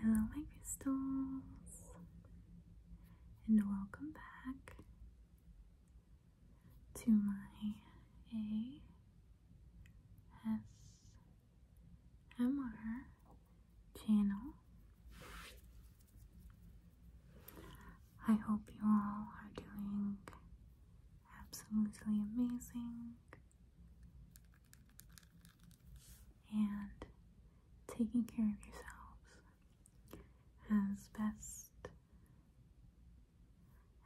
Hello, my crystals, and welcome back to my ASMR channel. I hope you all are doing absolutely amazing and taking care of yourselves as best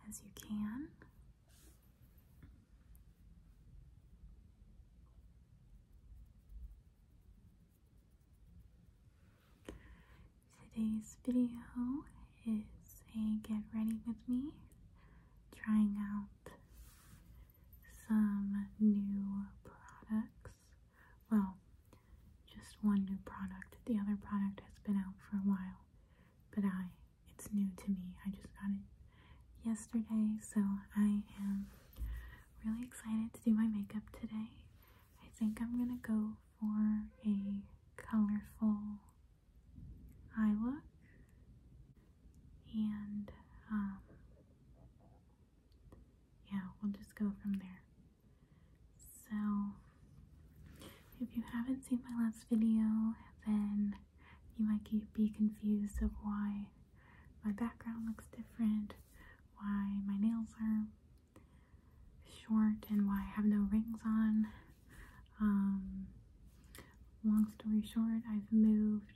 as you can. Today's video is a get ready with me trying out some new products. Well, just one new product. The other product has been out for a while, but I it's new to me. I just got it yesterday, so I am really excited to do my makeup today. I think I'm gonna go for a colorful I look, and um, yeah, we'll just go from there. So, if you haven't seen my last video, then you might be confused of why my background looks different, why my nails are short, and why I have no rings on. Um, long story short, I've moved.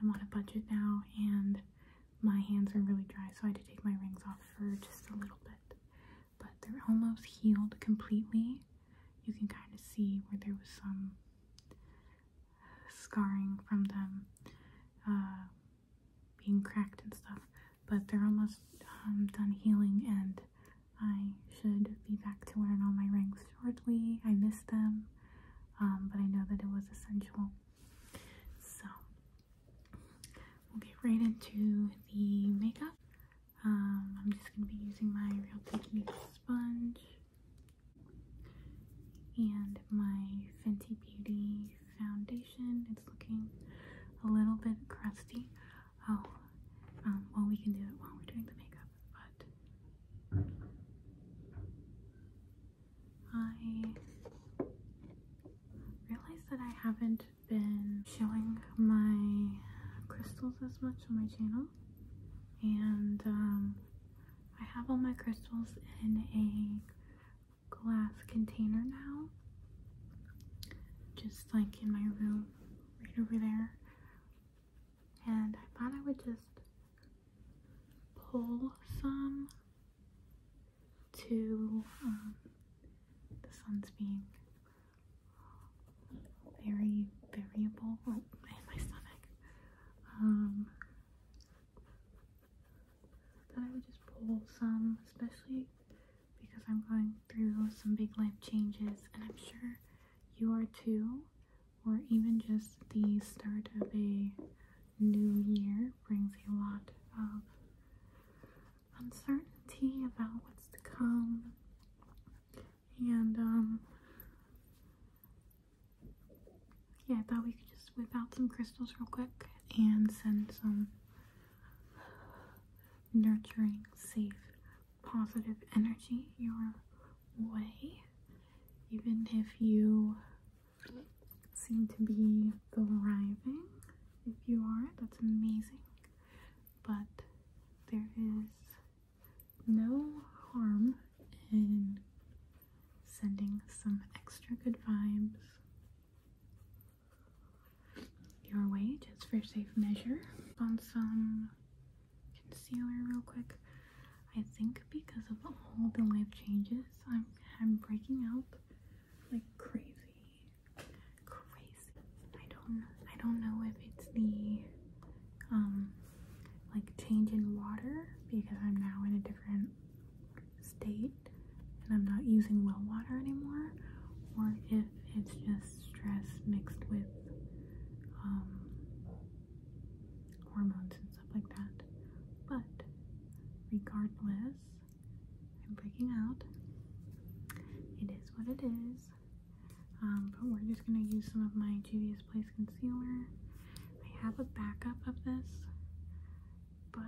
I'm on a budget now, and my hands are really dry, so I had to take my rings off for just a little bit. But they're almost healed completely. You can kind of see where there was some scarring from them uh, being cracked and stuff, but they're almost um, done healing, and I should be back to wearing all my rings shortly. I miss them, um, but I know that it was essential. So, we'll get right into the makeup. Um, I'm just going to be using my Real Techniques sponge and my Fenty Beauty foundation. It's looking a little bit crusty. Oh, um, well, we can do it while we're doing the makeup, but I realize that I haven't been showing my crystals as much on my channel and um, I have all my crystals in a glass container now just like in my room right over there and I thought I would just pull some to um, the sun's being very variable. Oh, my stomach. Um, that I would just pull some, especially because I'm going through some big life changes, and I'm sure you are too or even just the start of a new year brings a lot of uncertainty about what's to come and um, yeah i thought we could just whip out some crystals real quick and send some nurturing safe positive energy your way, even if you seem to be thriving. If you are, that's amazing. But there is no harm in sending some extra good vibes your way just for safe measure on some concealer real quick. I think because of all the life changes, I'm I'm breaking out like crazy, crazy. I don't I don't know if it's the um like change in water because I'm now in a different state and I'm not using well water anymore, or if it's just stress mixed with um hormones and stuff like that. But regardless, I'm breaking out. It is what it is. Um, but we're just gonna use some of my Juvia's Place concealer. I have a backup of this, but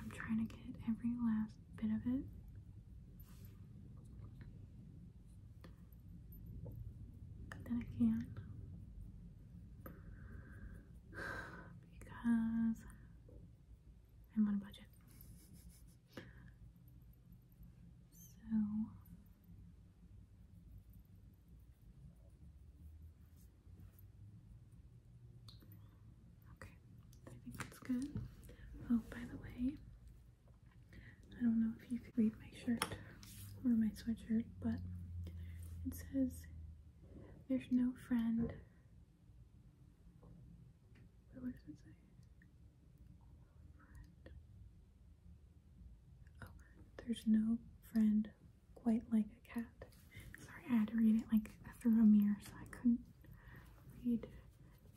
I'm trying to get every last bit of it than I can because I'm on budget. So Okay, I think that's good. Oh, by the way, I don't know if you can read my shirt or my sweatshirt, but it says, There's no friend. what does it say? Oh, there's no friend quite like a cat. Sorry, I had to read it like through a mirror, so I couldn't read it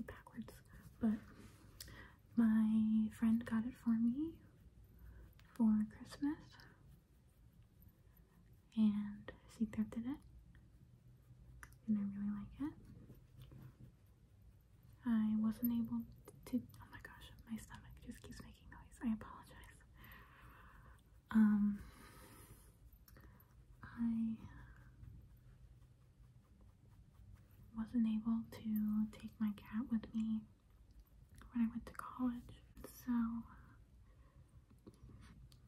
backwards. But my friend got it for me for Christmas and she thrifted it and I really like it. I wasn't able to, oh my gosh, my stomach just keeps making noise. I apologize. Um, I wasn't able to take my cat with me when I went to college. So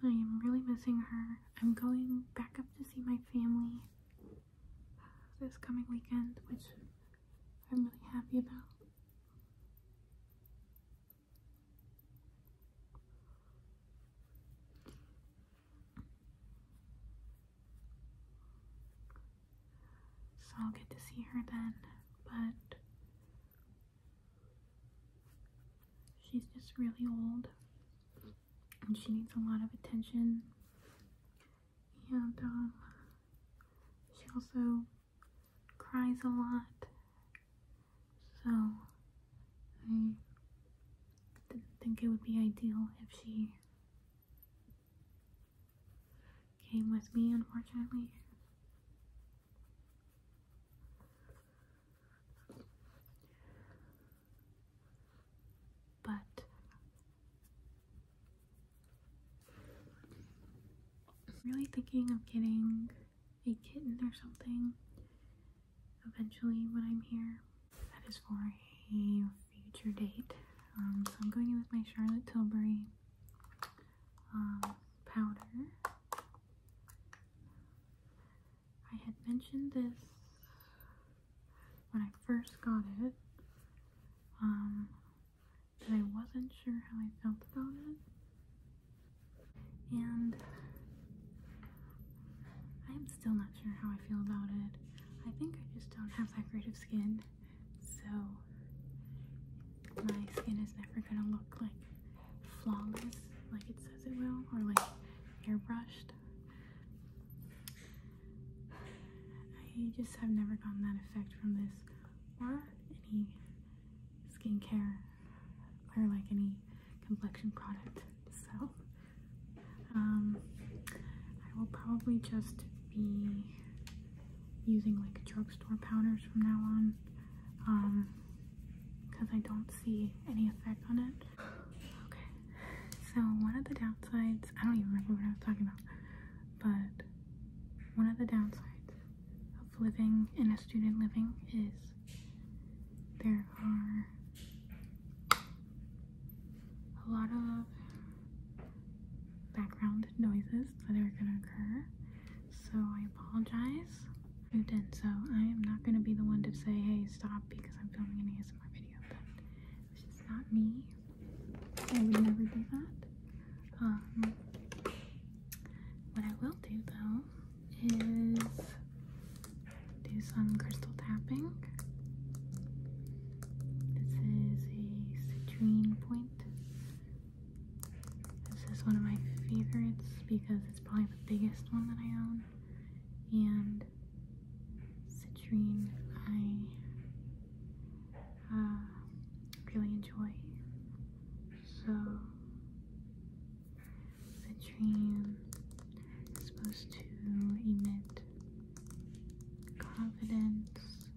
I am really missing her. I'm going back up to see my family this coming weekend, which I'm really happy about. So I'll get to see her then, but she's just really old and she needs a lot of attention. And um, she also cries a lot, so I didn't think it would be ideal if she came with me, unfortunately. But really thinking of getting a kitten or something eventually when I'm here. That is for a future date. Um, so I'm going in with my Charlotte Tilbury um, powder. I had mentioned this when I first got it, um, I wasn't sure how I felt about it. And I'm still not sure how I feel about it. I think I just don't have that great of skin so my skin is never gonna look like flawless like it says it will or like airbrushed. I just have never gotten that effect from this or any skincare or like any complexion product. So um, I will probably just be using like drugstore powders from now on um because I don't see any effect on it. Okay, so one of the downsides, I don't even remember what I was talking about, but one of the downsides of living in a student living is there are a lot of background noises that are going to occur. So I apologize. Moved in, so I am not going to be the one to say, hey, stop because I'm filming an ASMR video. But it's just not me. I would never do that. Um, what I will do though is do some crystal tapping. This is a citrine point. This is one of my favorites because it's probably the biggest one that I own. And citrine I uh, really enjoy. So citrine is supposed to emit confidence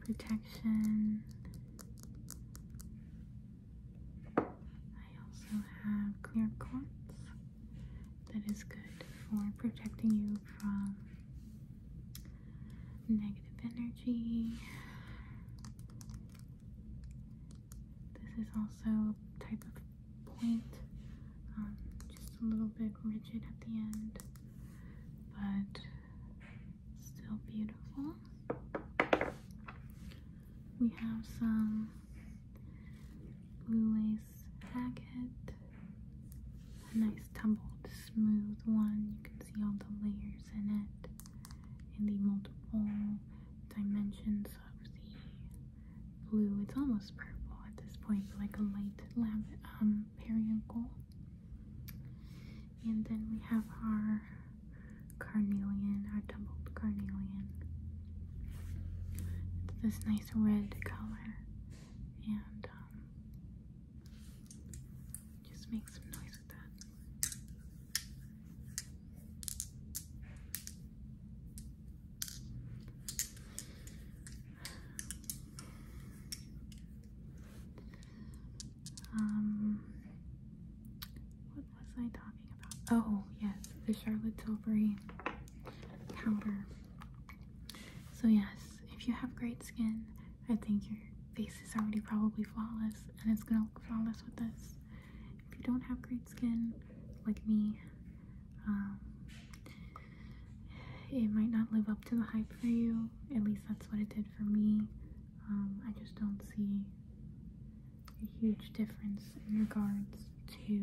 protection. I also have clear quartz that is good for protecting you from negative energy. This is also a type of point, um, just a little bit rigid at the end, but still beautiful. We have some blue lace agate, a nice tumbled smooth one. You can see all the layers in it and the multiple dimensions of the blue. It's almost purple at this point, like a light lavender um, periwinkle. And then we have our carnelian, our tumbled carnelian. It's this nice red color, and um, just make some noise with that. Um, what was I talking about? Oh, yes, the Charlotte Tilbury powder. So, yes, if you have great skin, I think your face is already probably flawless and it's gonna look flawless with this. If you don't have great skin, like me, um, it might not live up to the hype for you. At least that's what it did for me. Um, I just don't see a huge difference in regards to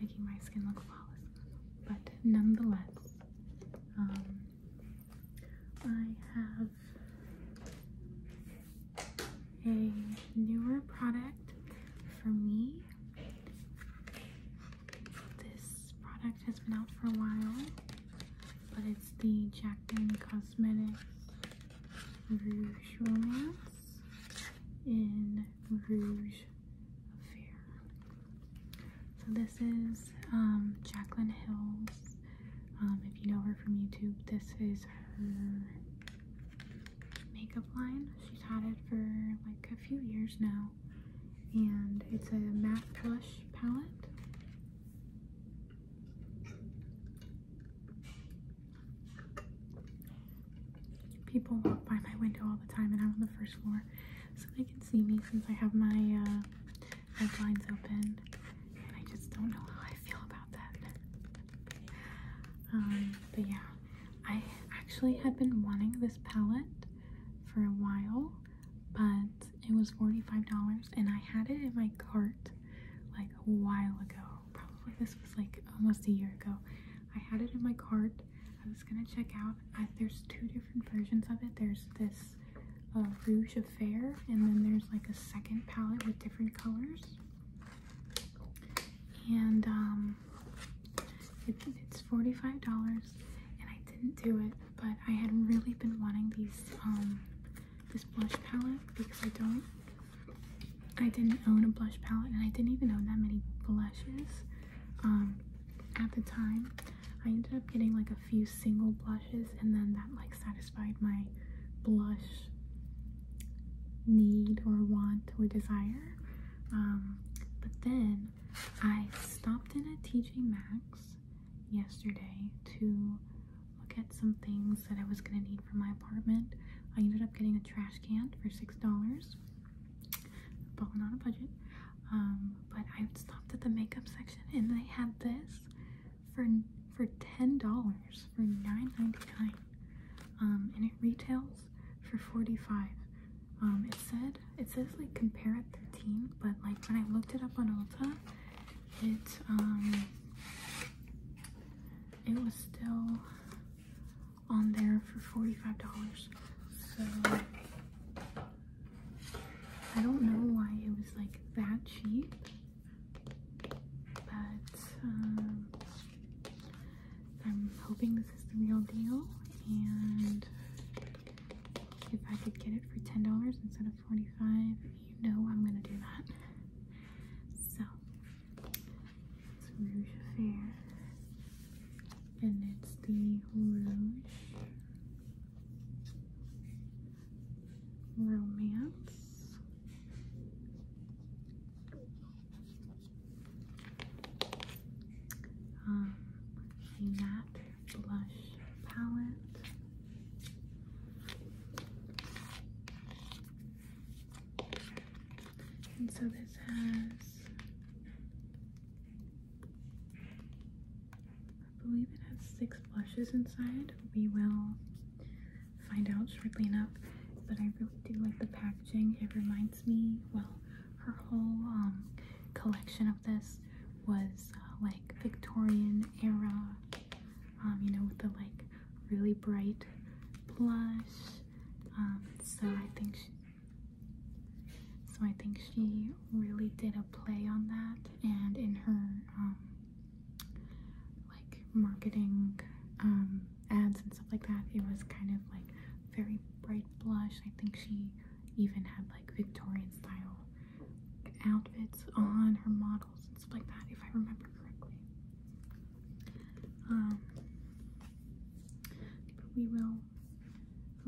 making my skin look flawless. But nonetheless, um, I have a newer product for me. This product has been out for a while, but it's the Jacqueline Cosmetics Rouge Romance in Rouge Affair. So this is um, Hills. Um, if you know her from YouTube, this is her makeup line. She's had it for like a few years now. And it's a matte blush palette. People walk by my window all the time and I'm on the first floor. So they can see me since I have my uh, red open. And I just don't know how I feel about that. Um, but yeah. I actually had been wanting this palette for a while, but it was $45 and I had it in my cart like a while ago. Probably this was like almost a year ago. I had it in my cart. I was gonna check out. there's two different versions of it. There's this uh, Rouge Affair and then there's like a second palette with different colors. And um, it's $45 and I didn't do it, but I had really been wanting these, um, this blush palette because I don't, I didn't own a blush palette and I didn't even own that many blushes, um, at the time. I ended up getting like a few single blushes and then that like satisfied my blush need or want or desire um, but then I stopped in at TJ Max yesterday to look at some things that I was gonna need for my apartment. I ended up getting a trash can for six dollars, balling on a budget. Um, but I stopped at the makeup section and they had this for for ten dollars for nine ninety nine, um, and it retails for 45 um, it said it says like compare at 13 but like when i looked it up on ulta it um, it was still on there for 45 dollars so i don't know why it was like that cheap but um, I'm hoping this is the real deal, and if I could get it for ten dollars instead of forty-five, you know I'm gonna do that. So it's Rouge Affair, and it's the Rouge Romance um, a matte blush palette. And so this has, I believe it has six blushes inside. We will find out shortly enough, but I really do like the pack. It reminds me, well, her whole um, collection of this was uh, like Victorian era, um, you know, with the like really bright blush. Um, so I think she, so I think she really did a play on that, and in her like marketing abs and stuff like that. It was kind of like very bright blush. I think she even had like Victorian style outfits on her models and stuff like that, if I remember correctly. Um, but we will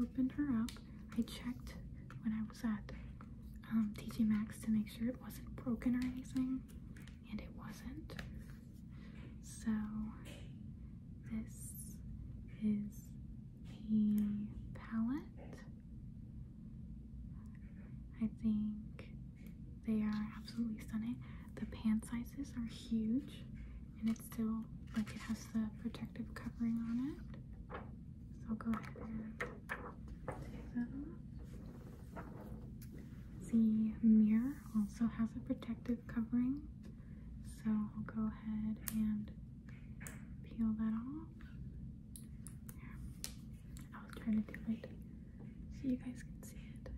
open her up. I checked when I was at um, TJ Max to make sure it wasn't broken or anything and it wasn't. So this is the palette. I think they are absolutely stunning. The pan sizes are huge and it still like it has the protective covering on it. So I'll go ahead and take that off. The mirror also has a protective covering. So I'll go ahead and peel that off. I was trying to do it so you guys can see it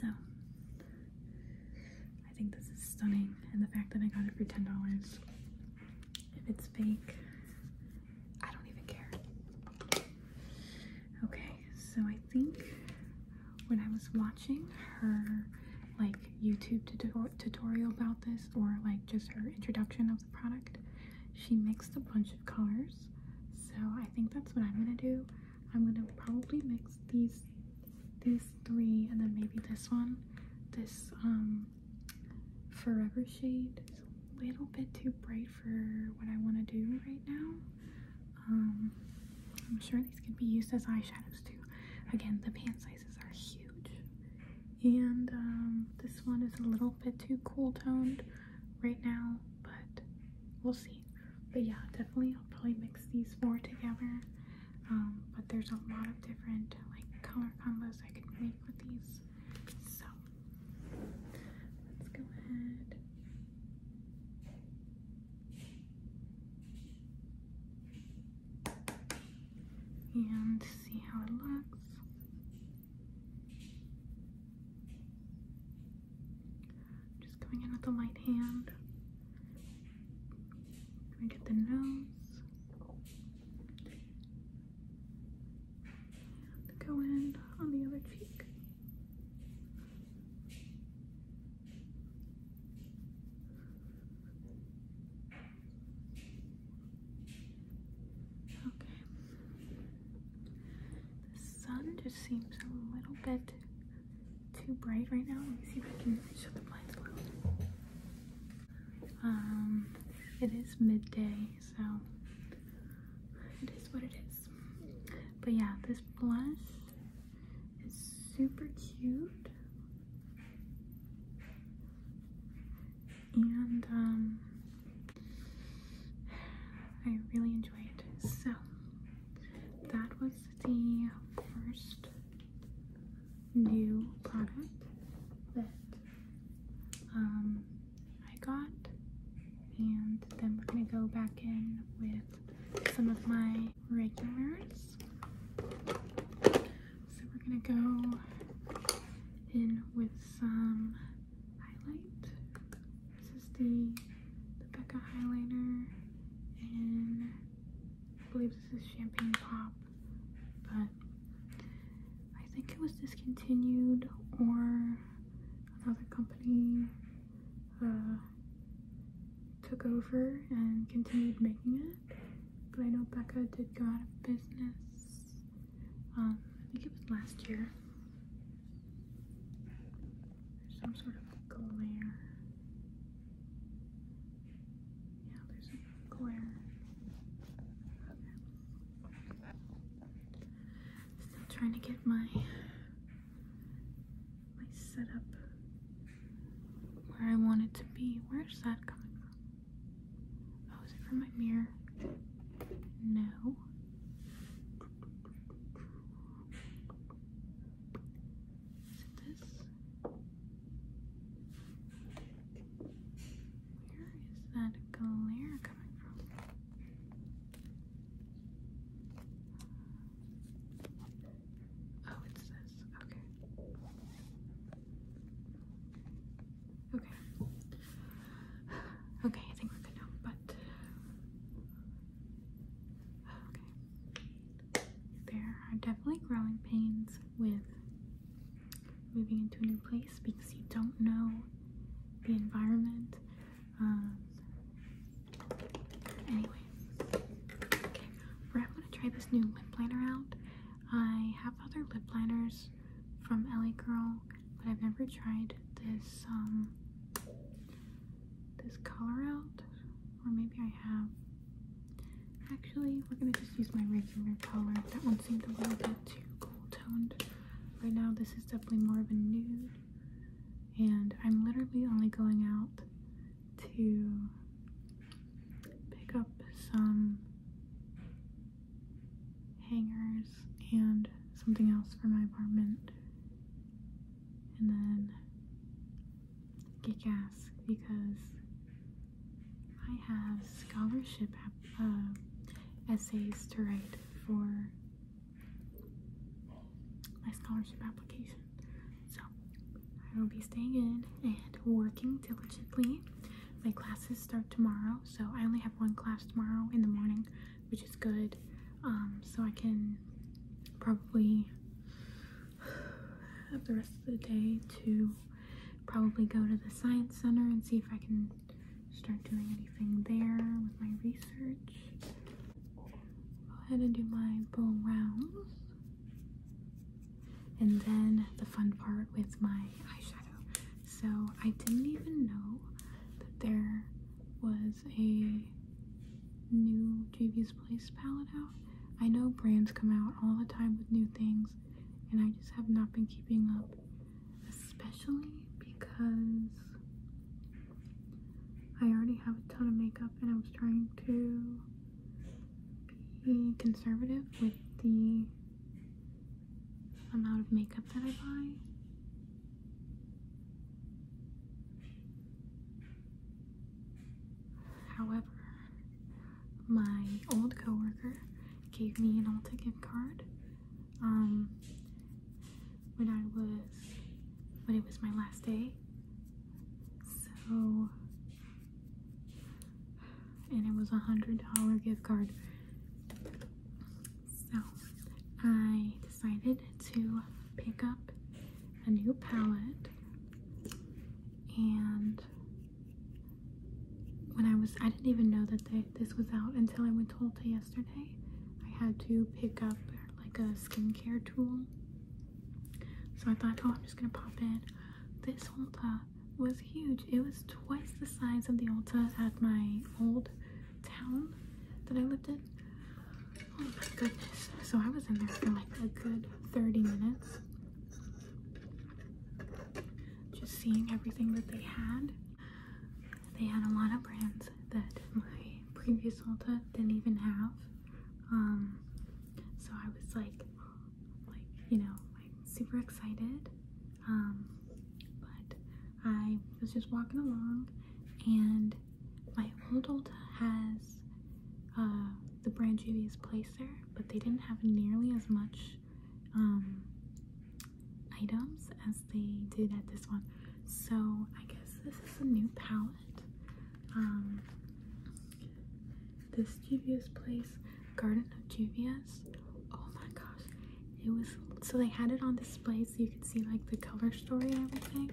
so I think this is stunning, and the fact that I got it for ten dollars. If it's fake, I don't even care. Okay, so I think when I was watching her like YouTube tutorial about this, or like just her introduction of the product, she mixed a bunch of colors so I think that's what I'm gonna do. I'm gonna probably mix these these three and then maybe this one. This um forever shade is a little bit too bright for what I want to do right now. Um, I'm sure these can be used as eyeshadows too. Again, the pan sizes are huge. And um, this one is a little bit too cool toned right now but we'll see. But yeah, definitely I'll probably mix these four together. Um, but there's a lot of different like color combos I could make with these. So let's go ahead. And see how it looks. Just coming in with a light hand. Gonna get the nose. go in on the other cheek. Okay. The sun just seems a little bit too bright right now. Let me see if I can shut the blinds a little. Um, it is midday, so it is what it is. But yeah, this blush is super cute. And um, I really enjoy it. So that was the first new product that um, I got and then we're going to go back in with some of my regulars. So we're going to go in with some highlight. This is the, Becca highlighter, and I believe this is Champagne Pop, but I think it was discontinued or another company uh, took over and continued making it. But I know Becca did go out of business um, I think it was last year. There's some sort of glare. Yeah, there's a glare. Still trying to get my my setup where I want it to be. Where's that coming from? Oh, is it from my mirror? No. Is it this? Where is that glare coming from? Oh, it's this. Okay. Okay. Okay, I think we're good now, but uh, okay. There are definitely growing pains with moving into a new place because you don't know the environment. Um, anyway, okay, we're gonna try this new lip liner out. I have other lip liners from LA Girl but I've never tried this um this color out or maybe I have actually we're gonna just use my regular color that one seemed a little bit too cool toned right now this is definitely more of a nude and I'm literally only going out to pick up some hangers and something else for my apartment. And then get gas because I have scholarship uh, essays to write for my scholarship application. So I will be staying in and working diligently. My classes start tomorrow, so I only have one class tomorrow in the morning which is good. Um, so I can probably have the rest of the day to probably go to the science center and see if I can start doing anything there with my research. Go ahead and do my bowl rounds. And then the fun part with my eyeshadow. So I didn't even know that there was a new JV's Place palette out. I know brands come out all the time with new things, and I just have not been keeping up, especially because I already have a ton of makeup and I was trying to be conservative with the amount of makeup that I buy However, my old coworker gave me an Ulta gift card um, when I was when it was my last day. So and it was a hundred dollar gift card. So I decided to pick up a new palette and when I was, I didn't even know that this was out until I went to Ulta yesterday. I had to pick up like a skincare tool. So I thought, oh, I'm just gonna pop in. This Ulta was huge. It was twice the size of the Ulta at my old town that I lived in. Oh my goodness. So I was in there for like a good 30 minutes. Just seeing everything that they had. They had a lot of brands that my previous Ulta didn't even have. Um, so I was like, like, you know, super excited. Um, but I was just walking along and my old Ulta has uh, the brand Juvia's Place there, but they didn't have nearly as much um, items as they did at this one. So I guess this is a new palette. Um, this Juvia's Place Garden of Juvia's. Oh my gosh, it was so they had it on display so you could see like the color story and everything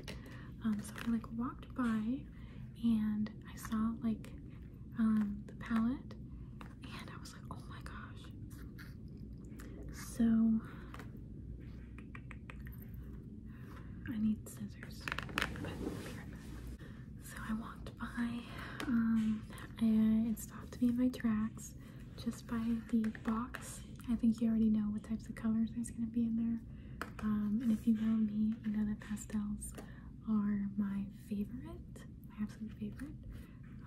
um, so i like walked by and i saw like um, the palette and i was like oh my gosh so i need scissors so i walked by and um, uh, it stopped me in my tracks just by the box. I think you already know what types of colors there's going to be in there. Um, and if you know me, you know that pastels are my favorite, my absolute favorite,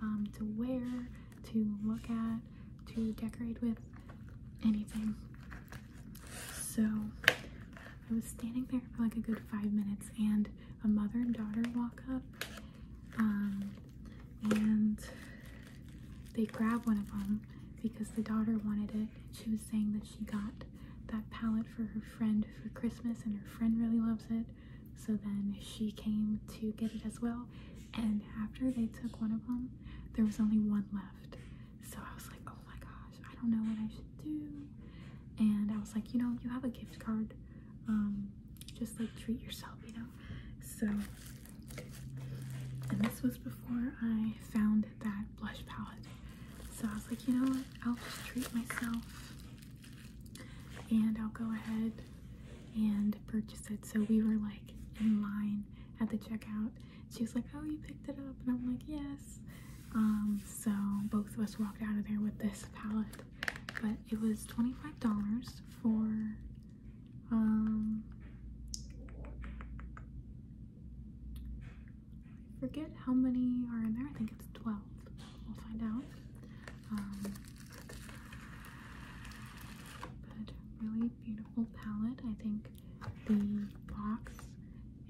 um, to wear, to look at, to decorate with, anything. So I was standing there for like a good five minutes, and a mother and daughter walk up. Um, and they grabbed one of them because the daughter wanted it. She was saying that she got that palette for her friend for Christmas and her friend really loves it. So then she came to get it as well. And after they took one of them, there was only one left. So I was like, oh my gosh, I don't know what I should do. And I was like, you know, you have a gift card. Um, just like treat yourself, you know? So and this was before I found that blush palette. So I was like, you know what? I'll just treat myself and I'll go ahead and purchase it. So we were like in line at the checkout. She was like, oh, you picked it up? And I'm like, yes. Um, so both of us walked out of there with this palette. But it was $25 for um, I forget how many are in there. I think it's 12. We'll find out. Um, but really beautiful palette. I think the box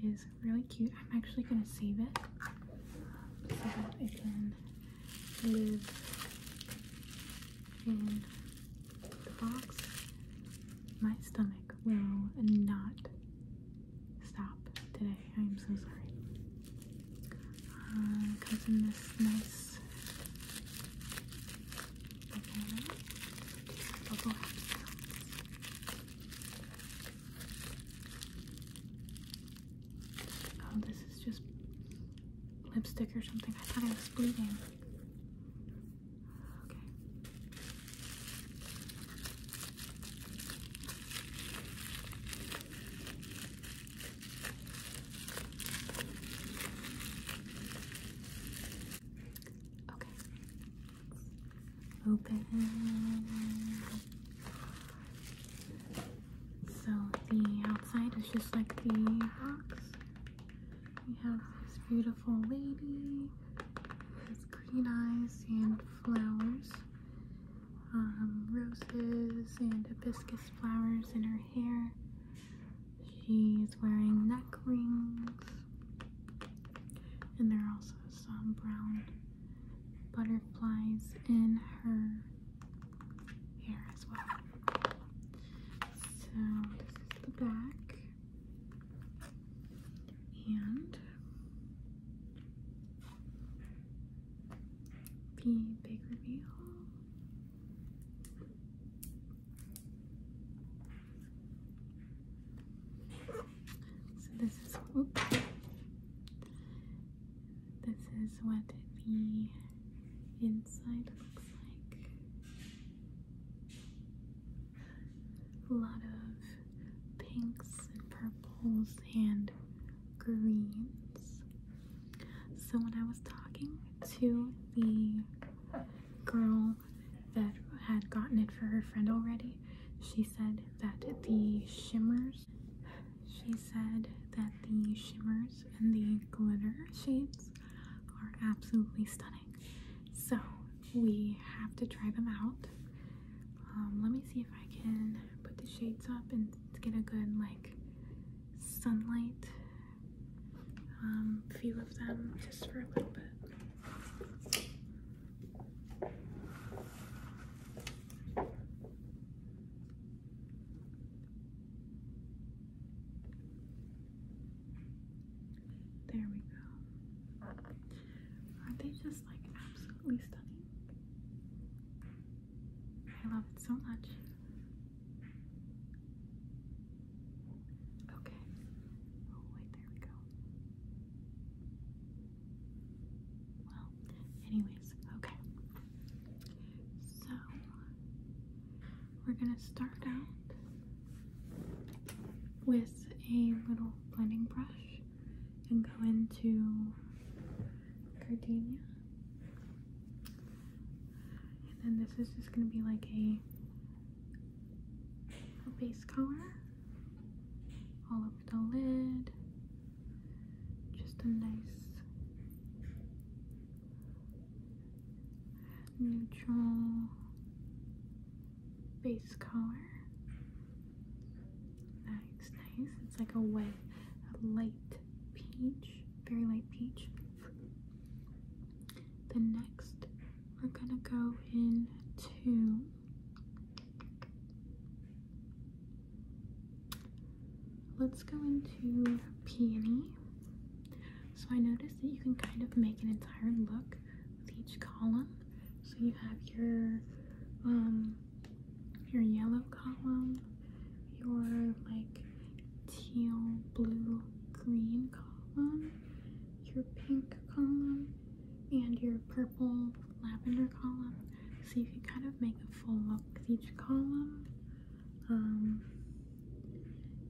is really cute. I'm actually going to save it so that it can live in the box, my stomach will not stop today. I'm so sorry. Uh, comes in this nice Bubble Oh, this is just lipstick or something. I thought I was bleeding. Okay. Okay. Open. So the outside is just like the box. We have this beautiful lady with green eyes and flowers, um, roses and hibiscus flowers in her hair. She's wearing neck rings, and there are also some brown butterflies in her hair as well. So this is the back. And the big reveal. So this is This is what the inside looks like a lot of pinks and purples and greens. So when I was talking to the girl that had gotten it for her friend already, she said that the shimmers, she said that the shimmers and the glitter shades are absolutely stunning. So we have to try them out. Um, let me see if I can put the shades up and get a good like sunlight um, few of them just for a little bit. There we go. are they just like absolutely stunning? I love it so much. Okay. Oh, wait, there we go. Well, anyways, okay. So, we're going to start out with a little blending brush and go into Cardinia. And then this is just going to be like a, a base color all over the lid. Just a nice neutral base color. Nice, nice. It's like a wet, light peach, very light peach. The next, we're gonna go into let's go into peony so I noticed that you can kind of make an entire look with each column. So you have your um your yellow column, your like teal, blue, green column, your pink column, and your purple lavender column. So you can kind of make a full look with each column. Um,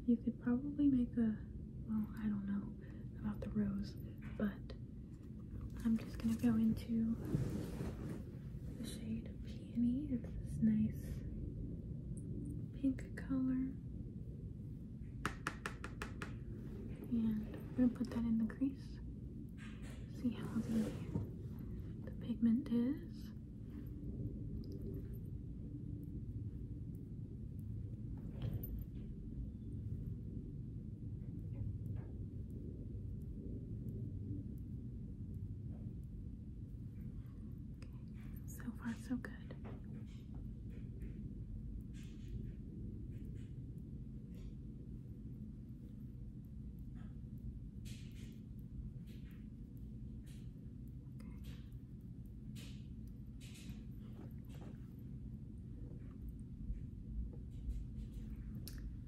you could probably make a, well, I don't know about the rose, but I'm just gonna go into the shade of Peony. It's this nice pink color. And I'm gonna put that in the crease. See how the, the pigment is. So far, so good.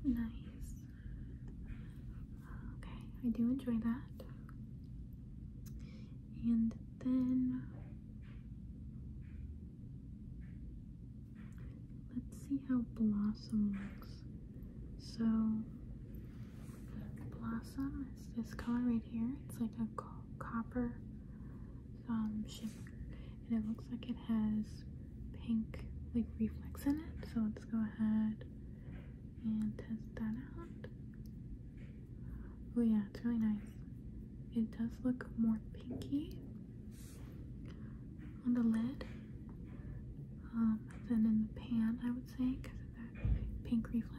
Nice. Okay, I do enjoy that. And then let's see how Blossom looks. So Blossom is this color right here. It's like a copper um, shimmer, and it looks like it has pink like reflex in it. So let's go ahead and test that out. Oh yeah, it's really nice. It does look more pinky on the lid um, than in the pan, I would say, because of that pink reflex.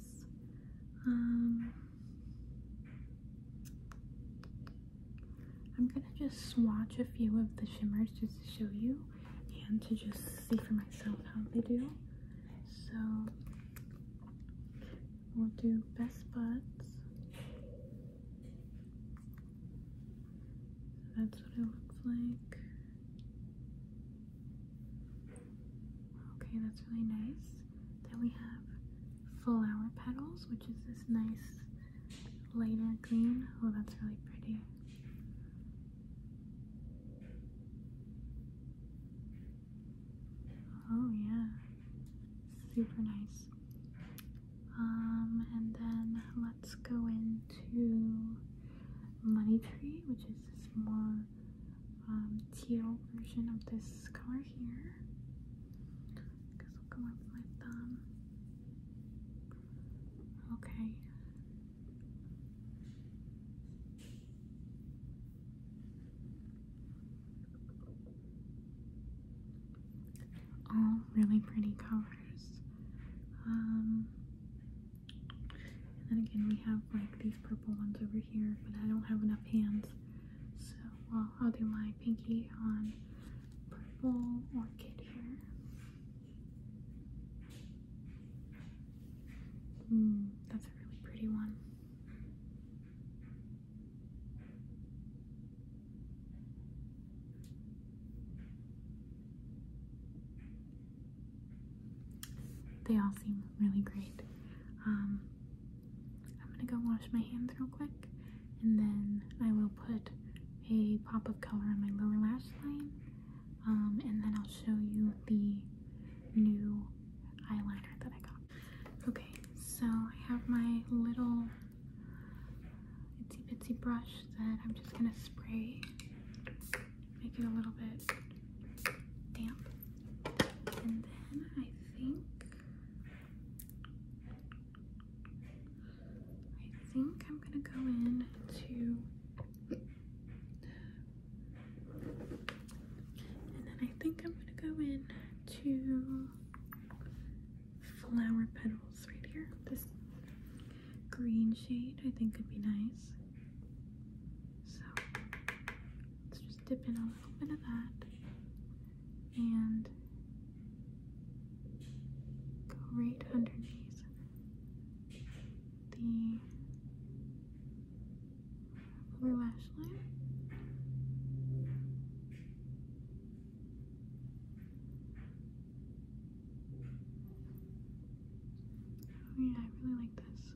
Um, I'm gonna just swatch a few of the shimmers just to show you and to just see for myself how they do. So we'll do best buds. That's what it looks like. Okay, that's really nice. Then we have flower petals, which is this nice lighter green. Oh, that's really pretty. Oh yeah, super nice. Um, and then let's go into money tree, which is this more um, teal version of this color here. Because we'll go with them. Okay. All really pretty colors. Um, and then again, we have like these purple ones over here, but I don't have enough hands. So well, I'll do my pinky on purple orchid here. Mm, that's a really pretty one. They all seem really great. Um, I'm gonna go wash my hands real quick and then I will put a pop of color on my lower lash line um, and then I'll show you the new eyeliner that I got. Okay, so I have my little itsy bitsy brush that I'm just gonna spray, make it a little bit damp. And then I think I think I'm gonna go in to and then I think I'm gonna go in to flower petals right here. This green shade I think could be nice. So Let's just dip in a little bit of that and go right underneath the lower lash line. Oh yeah, I really like this.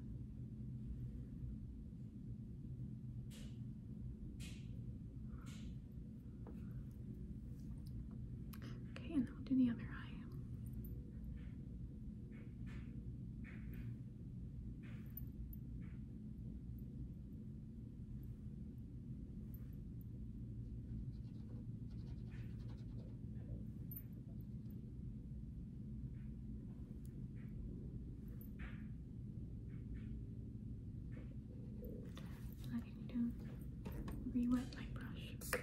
Okay, and then we'll do the other eye. I need to re-wet my brush.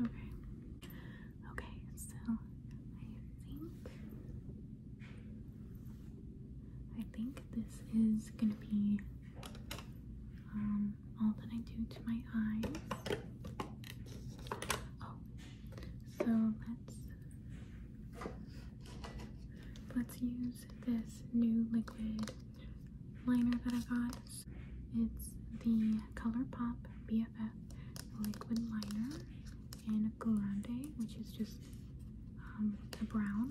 Okay. Okay, so I think I think this is gonna be um, all that I do to my eyes. Oh, so let's let's use this new liquid liner that I got. It's the ColourPop BFF liquid liner in Grande, which is just a um, brown.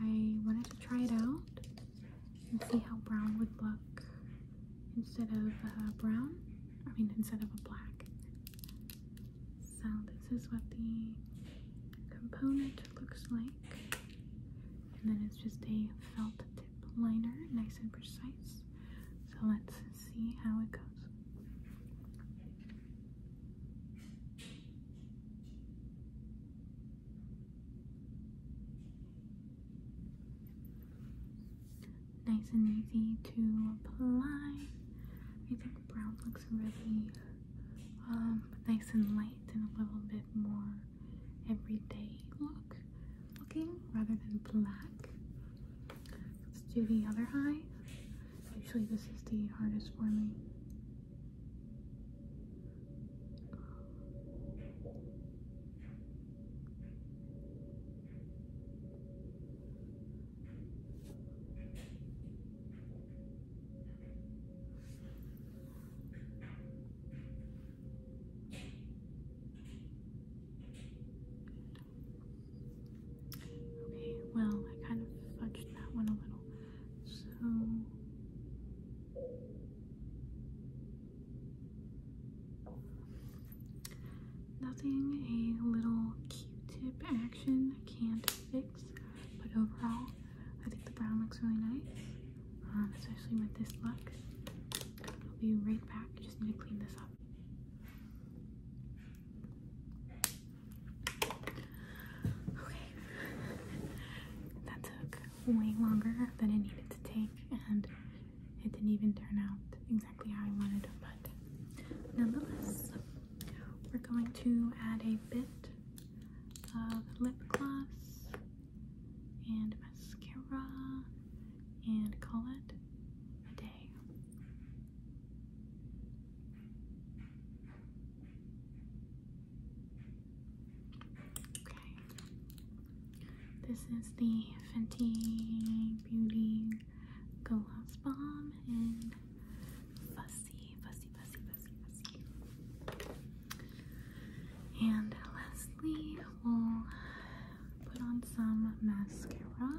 I wanted to try it out and see how brown would look instead of uh, brown, I mean instead of a black. So this is what the component looks like. And then it's just a felt tip liner, nice and precise. So let's see how it goes. Nice and easy to apply. I think brown looks really um, nice and light and a little bit more everyday look looking rather than black. Let's do the other eye. Usually this is the hardest for me. Okay, well, I kind of fudged that one a little. So Nothing a little Q-tip action can't fix, but overall, I think the brown looks really nice, um, especially with this look. I'll be right back. Just need to clean this up. way longer than I needed to take and it didn't even turn out exactly how I wanted it, but nonetheless, we're going to add a bit of lip gloss and mascara and call it a day. Okay, this is the Fenty Beauty Gloss Bomb in Fussy, Fussy, Fussy, Fussy, Fussy. And lastly, we'll put on some mascara.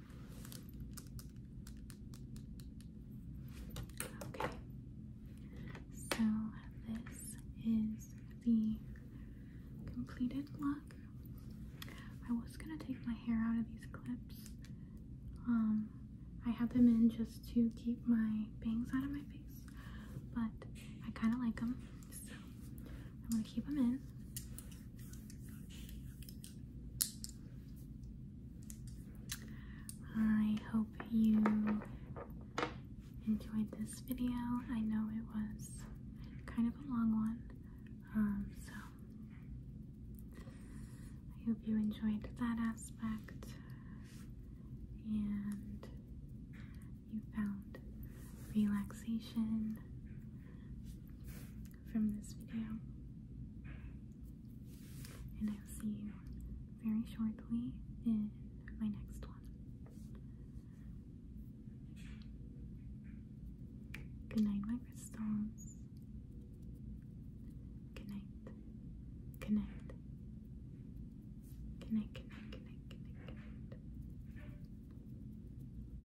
Okay, so this is the completed look. I was gonna take my hair out of these clips. Um, I had them in just to keep my bangs out of my face, but I kind of like them, so I'm going to keep them in. I hope you enjoyed this video. I know it was kind of a long one, um, so I hope you enjoyed that aspect and you found relaxation from this video. And I'll see you very shortly in my next one. Good night, my crystals. Good night. Good night. Good night, good night, good night, good night, good night.